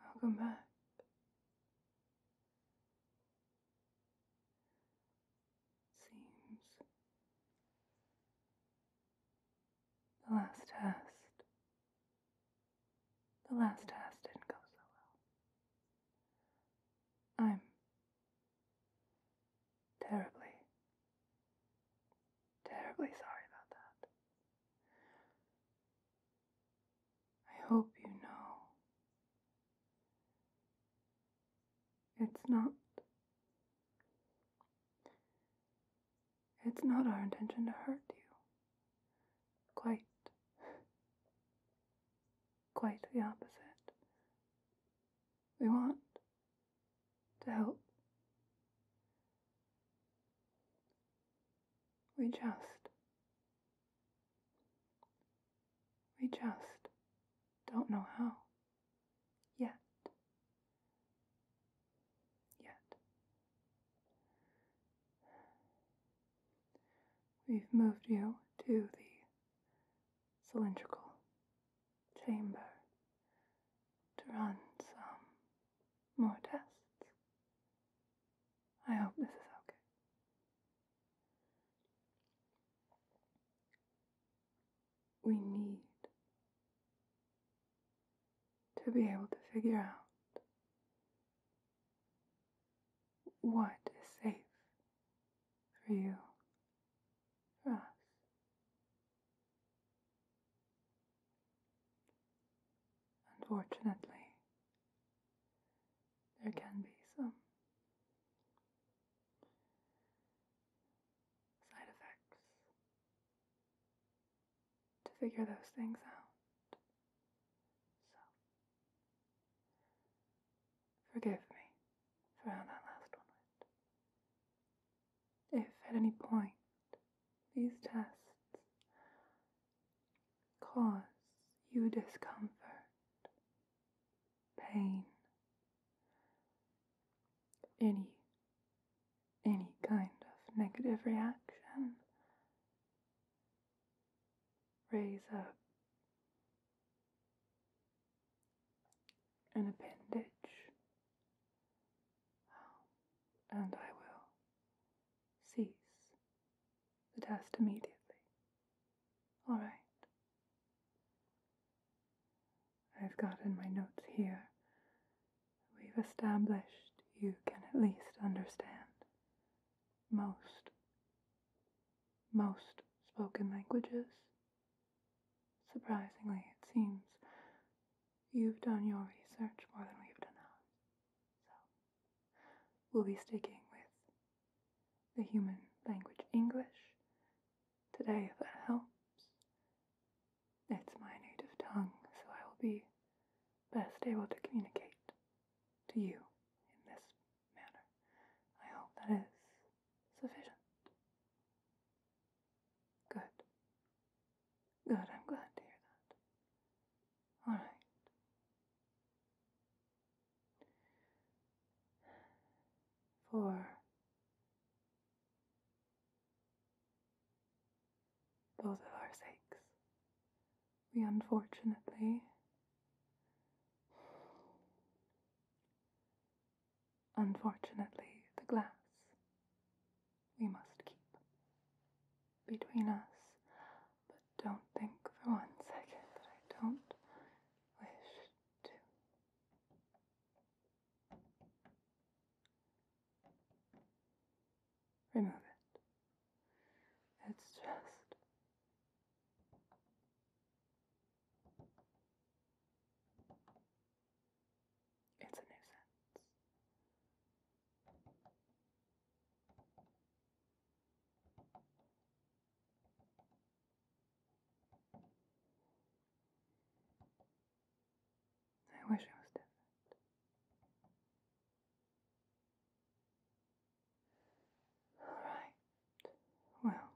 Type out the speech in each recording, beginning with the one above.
Welcome back. Seems the last test, the last test didn't go so well. I'm terribly Terribly sorry about that. I hope you know. It's not. It's not our intention to hurt you. Quite. Quite the opposite. We want to help. We just, we just don't know how. Yet. Yet. We've moved you to the cylindrical chamber to run some more tests. I hope this is okay. We need to be able to figure out what is safe for you, for us, Unfortunately, there can be some side effects to figure those things out. So, forgive me for how that last one went. If at any point these tests cause you discomfort, pain, any any kind of negative reaction, raise up an appendage and I will cease the test immediately. All right. I've got in my notes here. We've established you can at least understand most, most spoken languages. Surprisingly, it seems You've done your research more than we've done ours. So, we'll be sticking with the human language English today, that helps. It's my native tongue, so I will be best able to communicate to you in this manner. I hope that is sufficient. Good. Good, I'm glad to hear that. All right. For both of our sakes, we unfortunately. Unfortunately, the glass we must keep between us. But don't think for one second that I don't wish to. Remove it. It's just. It's a nuisance. I wish I was different. All right. Well,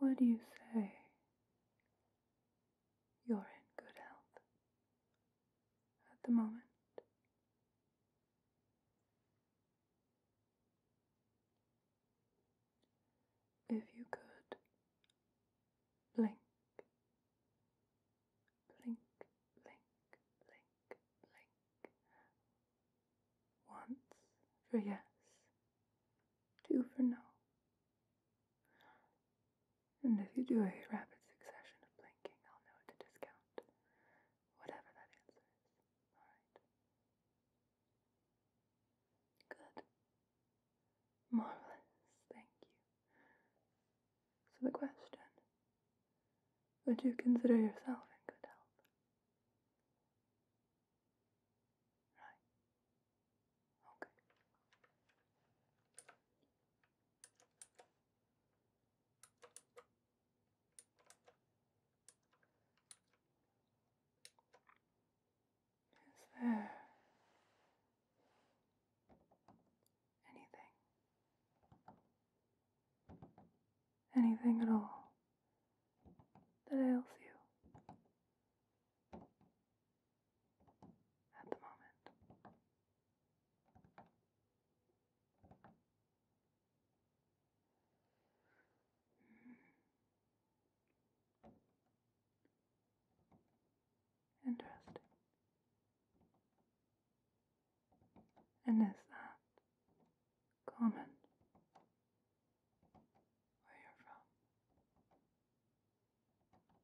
what do you say? you're in good health at the moment. If you could blink, blink, blink, blink, blink once for yes, two for no. And if you do a rapid succession of blinking, I'll know to discount whatever that answer Alright. Good. Marvelous. Thank you. So the question Would you consider yourself in good health? Right. Okay. Is there anything? Anything at all that ails you? at the moment. Hmm. Interesting. And is that common where you're from?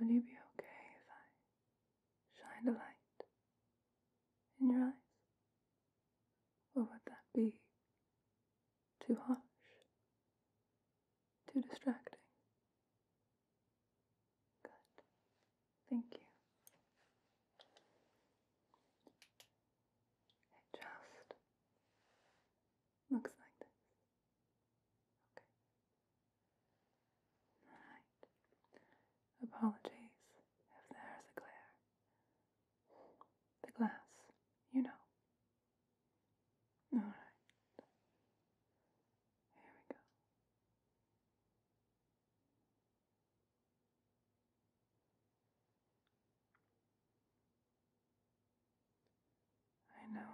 Would you be okay if I shine a light in your eyes? Or would that be too harsh? Too distracting? Good. Thank you. just looks like this. Okay. Alright. Apologies if there's a glare. The glass, you know, all right. Here we go. I know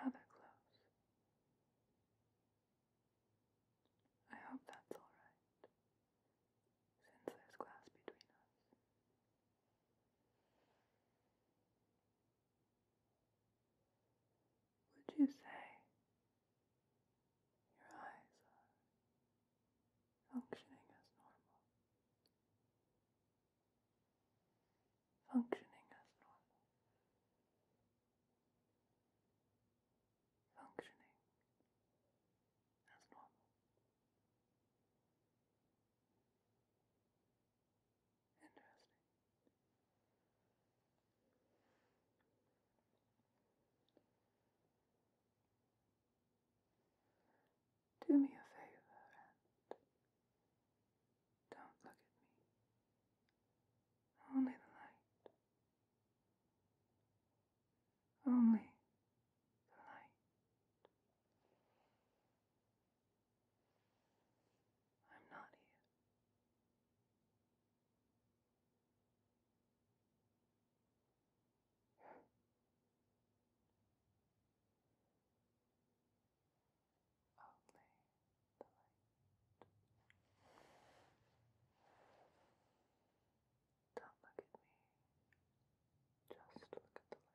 I'm rather close. I hope that's all right, since there's glass between us. Would you say your eyes are functioning as normal? Functioning as normal. Functioning as normal. Do me a favor don't look at me. Only the light. Only the light. I'm not here. Only the light. Don't look at me. Just look at the light.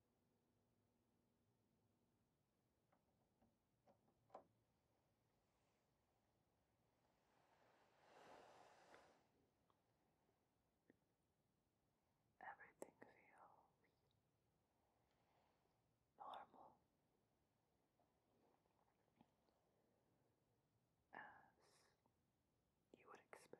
Everything feels normal as you would expect.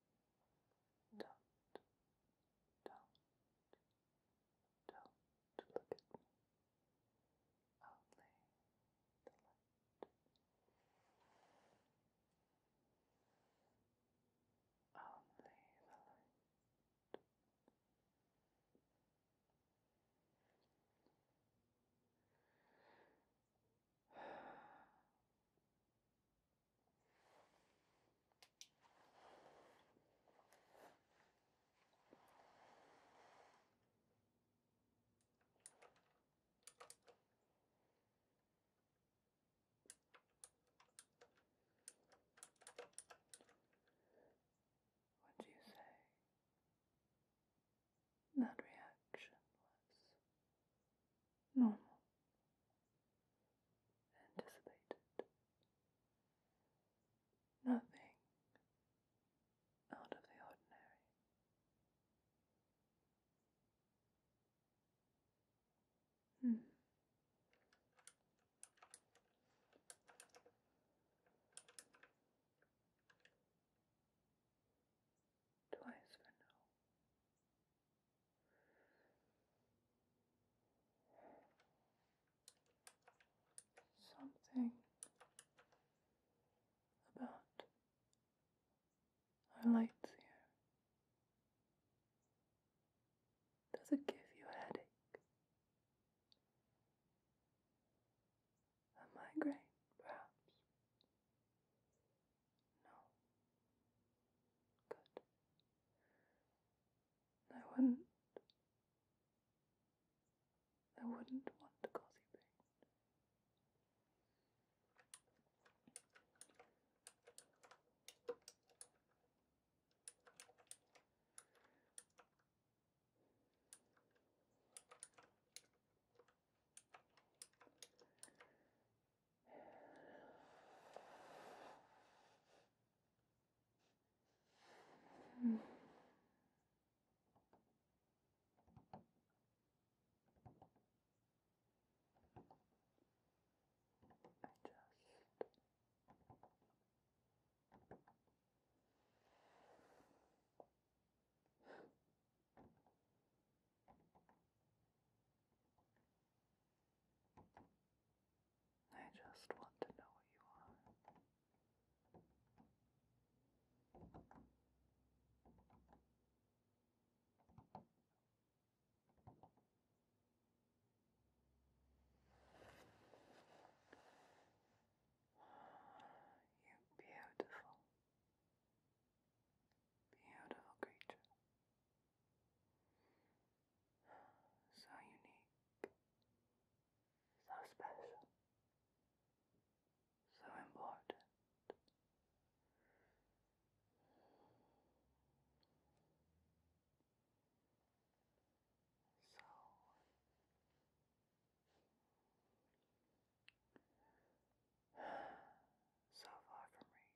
Don't, don't, don't look at me. Only the light. Only the light. What do you say? that reaction was normal, anticipated, nothing out of the ordinary. Hmm twice for now. Something about our lights here. Does it give you a headache? A migraine, perhaps? No. Good. I wouldn't. I wouldn't want to cause you pain. Hmm. I just I just want to know you are. You beautiful, Beautiful creature. So unique. So special. So important. So so far from reach.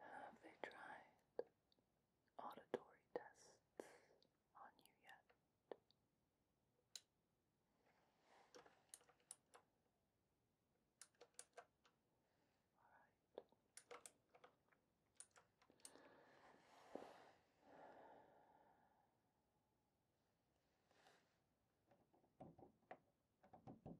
Have they tried auditory tests on you yet? All right. Star glass. They will muffle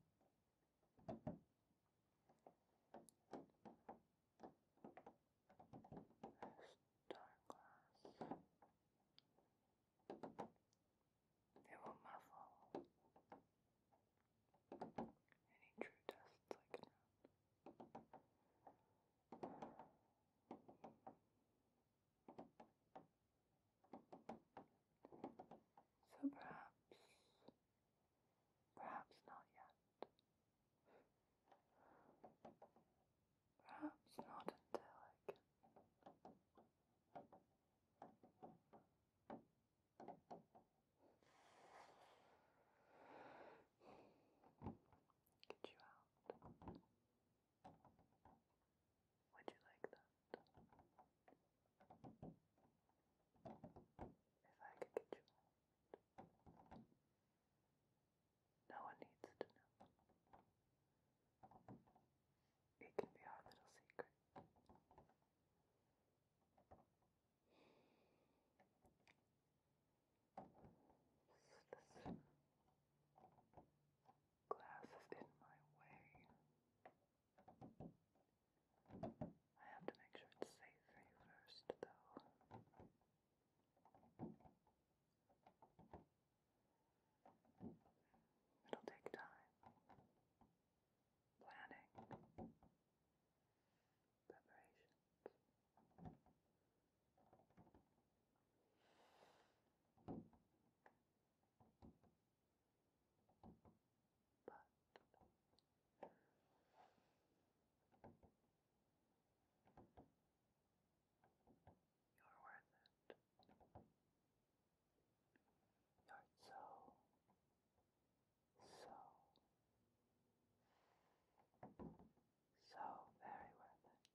any true tests I can so perhaps, perhaps not yet. Perhaps not until I Get you out. Would you like that? If I could get you out. No one needs to know. It can be our little secret. Just listen glass is in my way. I have to make sure it's safe first, though. It'll take time. Planning. Preparations. But you're worth it. You're so, so, so very worth it.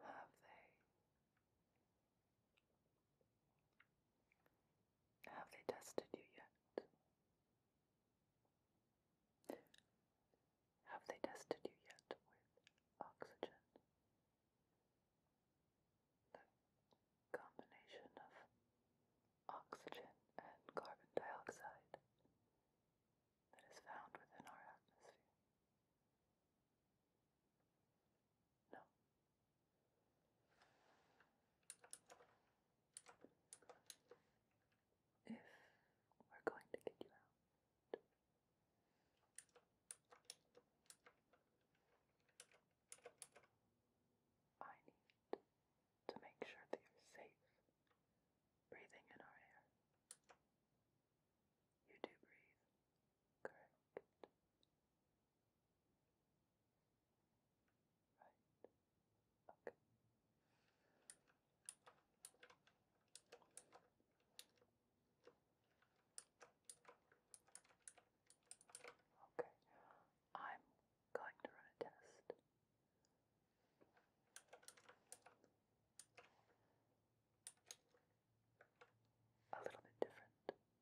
Have they? Have they tested you yet? Have they tested you yet with oxygen? The combination of oxygen and carbon dioxide that is found within our atmosphere. No if we're going to get you out. I need to make sure that you're safe breathing in our air. You do breathe, correct? Right. Okay. Okay, I'm going to run a test. A little bit different than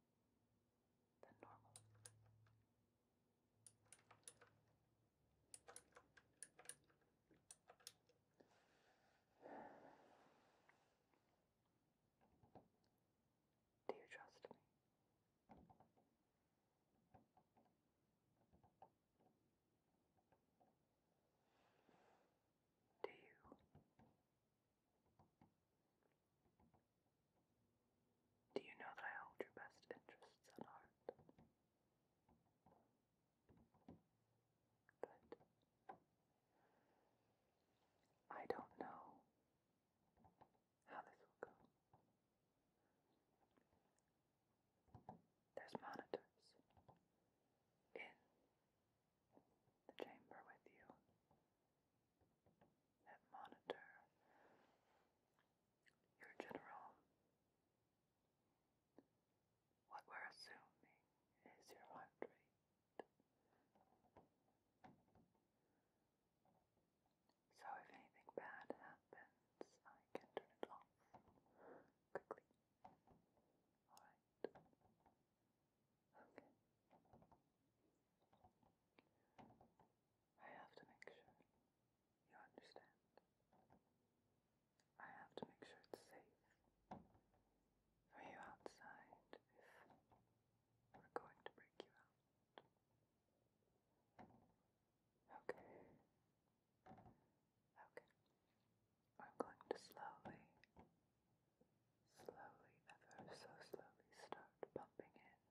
normal. Do you trust me? Do you? Do you know that I hold your best interests at heart? Good. I don't know how this will go. There's monitors in the chamber with you that monitor your general what we're assuming is your heart rate. So if anything bad happens, I can turn it off quickly. Alright. Okay. I have to make sure you understand. I have to make sure it's safe for you outside if we're going to break you out. Okay. Okay. I'm going to slowly, slowly, ever so slowly start pumping in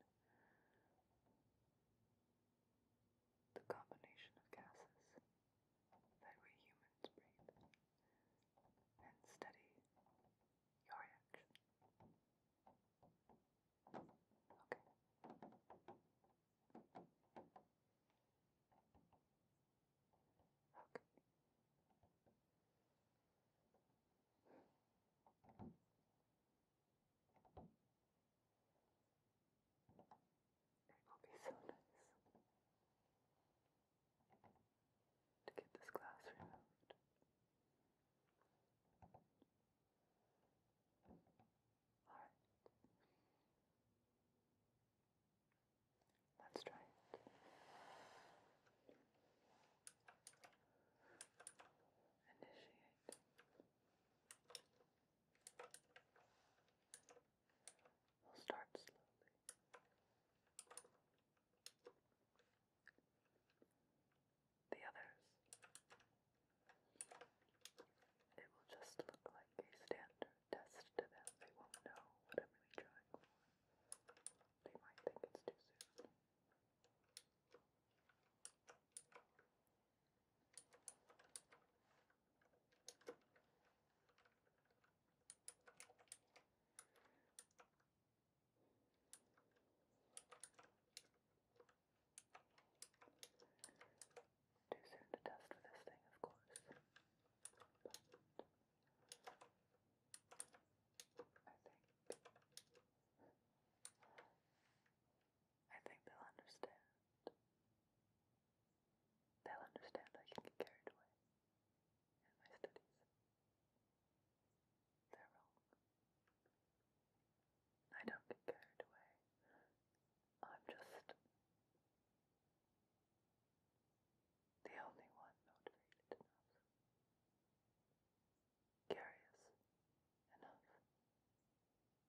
the combination of gases that we humans breathe and study your reaction. Okay. Okay. It will be so nice to get this glass removed. Alright. Let's try it. Initiate. We'll start slowly. The others, it will just look like a standard test to them. They won't know what I'm really trying for. They might think it's too soon. Too soon to test for this thing, of course. But I think I think they'll understand. They'll understand I can get carried away in my studies. They're wrong. I don't get carried away. I'm just the only one motivated enough, curious enough,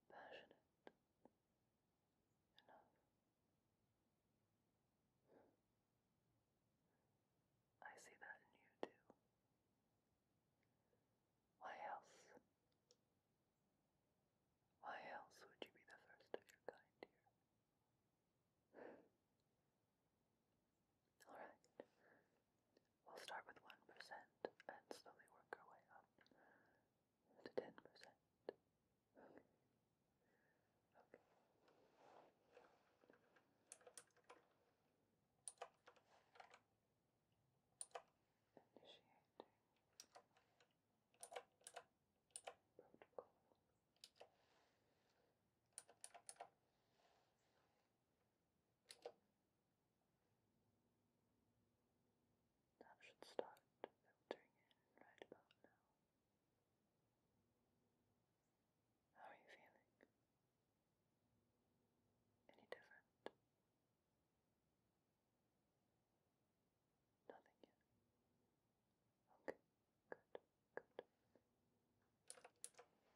passionate enough. I see that in you too. Why else? Why else would you be the first of your kind here? Alright. We'll start with 1% and slowly work our way up to 10%. Okay. Initiating protocol. That should start filtering in right about now. How are you feeling? Any different? Nothing yet. Okay, good, good.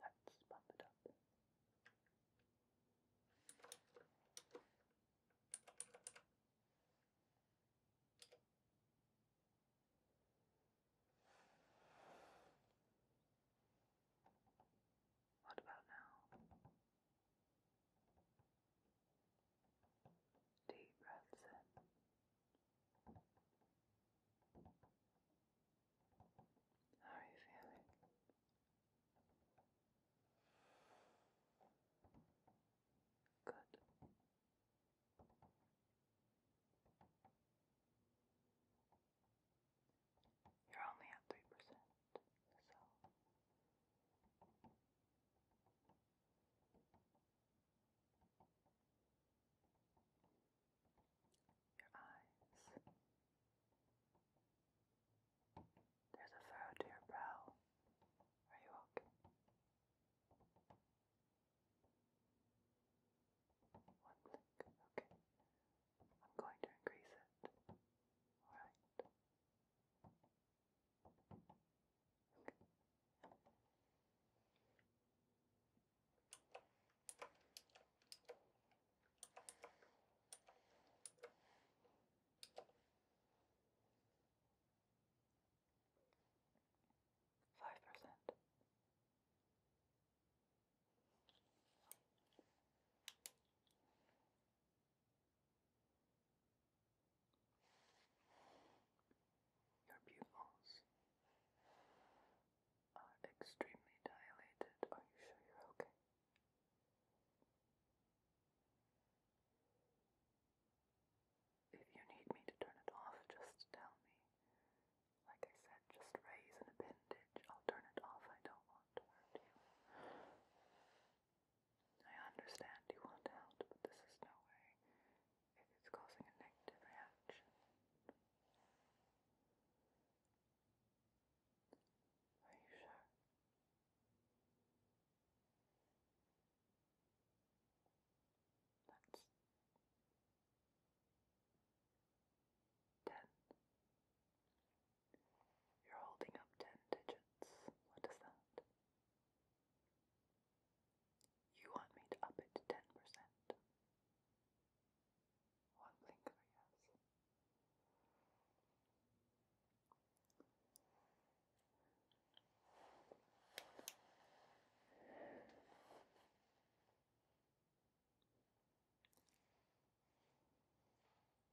Let's bump it up. What about now? Deep breaths in. How are you feeling? Good. You're only at three percent, so your eyes. There's a furrow to your brow. Are you okay? One blink, okay. I'm going to increase it. Alright. Five percent. Your pupils are extremely dilated. Are you sure you're okay? If you need me to turn it off, just tell me. Like I said, just raise an appendage. I'll turn it off. I don't want to hurt you. I understand you want help, but this is no way. It's causing a negative reaction. Are you sure? That's ten. You're holding up ten digits. What is that? You want me to up it to 10%. One blinker, yes.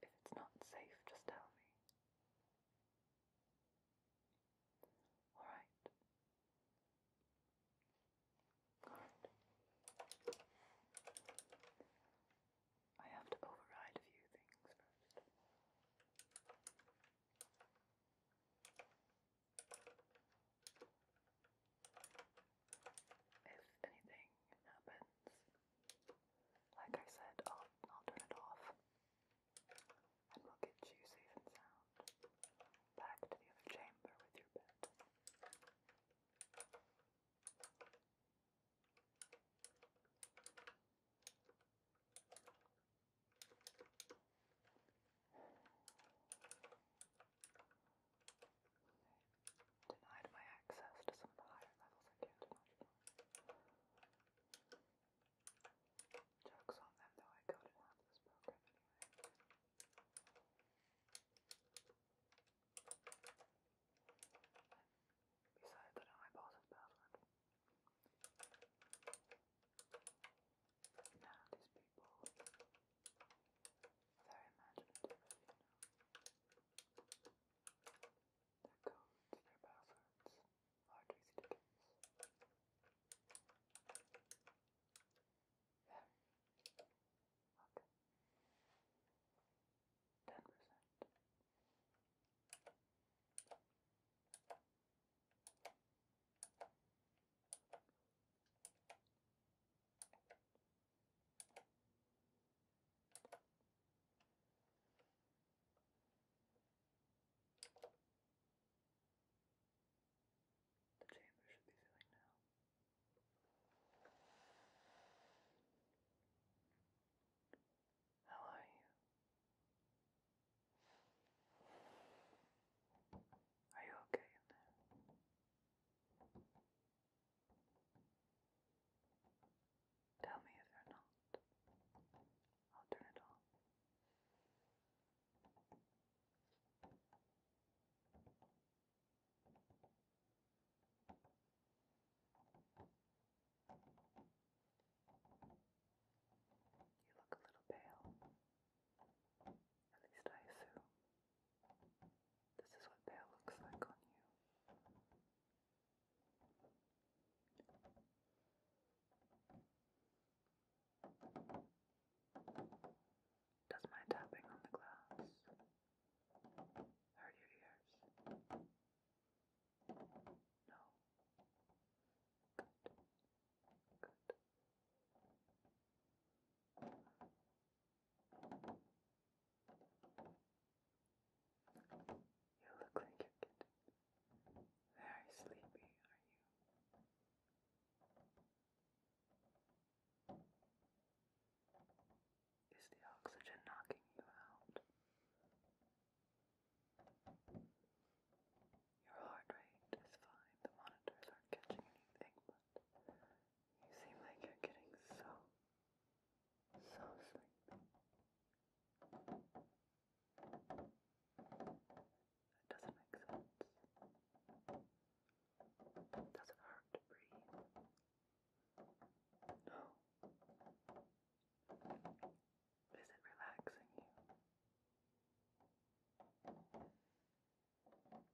If it's not safe, just tell me. All right. Good. I have to override a few things first. If anything happens, like I said, I'll, I'll turn it off and we'll get you safe and sound back to the other chamber with your bed. Denied my access to some of the higher levels I Jokes on them, though I got it out of this program anyway. Besides, I know my boss's password. None of these people are very imaginative, you know. Their codes, their passwords. Hardly see the difference. There. Okay. Ten percent. The chamber should be filling now. How are you? Are you okay in there? Tell me if you're not. I'll turn it off. You look a little pale. At least I assume. This is what pale looks like on you. Does my tapping on the glass hurt your ears? No. Good. Good. You look like you're getting very sleepy, are you? Is the oxygen knocking you out? Your heart rate is fine, the monitors aren't catching anything, but you seem like you're getting so, so sleepy. It doesn't make sense. It doesn't hurt to breathe. No. Is it relaxing you? Hasn't it? Oh.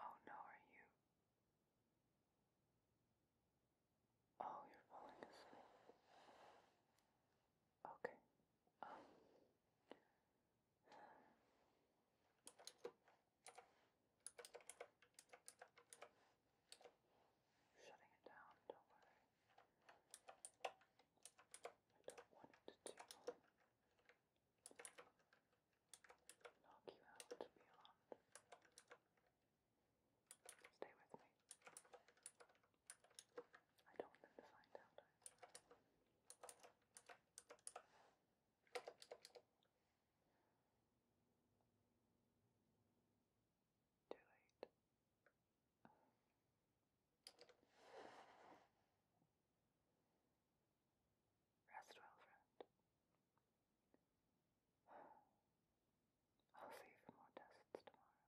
Oh no, are you? Oh, you're falling asleep. Okay. Um. Shutting it down, don't worry. I don't want it to knock you out beyond. Stay with me. I don't want them to find out. Too late. Oh. Rest well, friend. I'll see you for more tests tomorrow.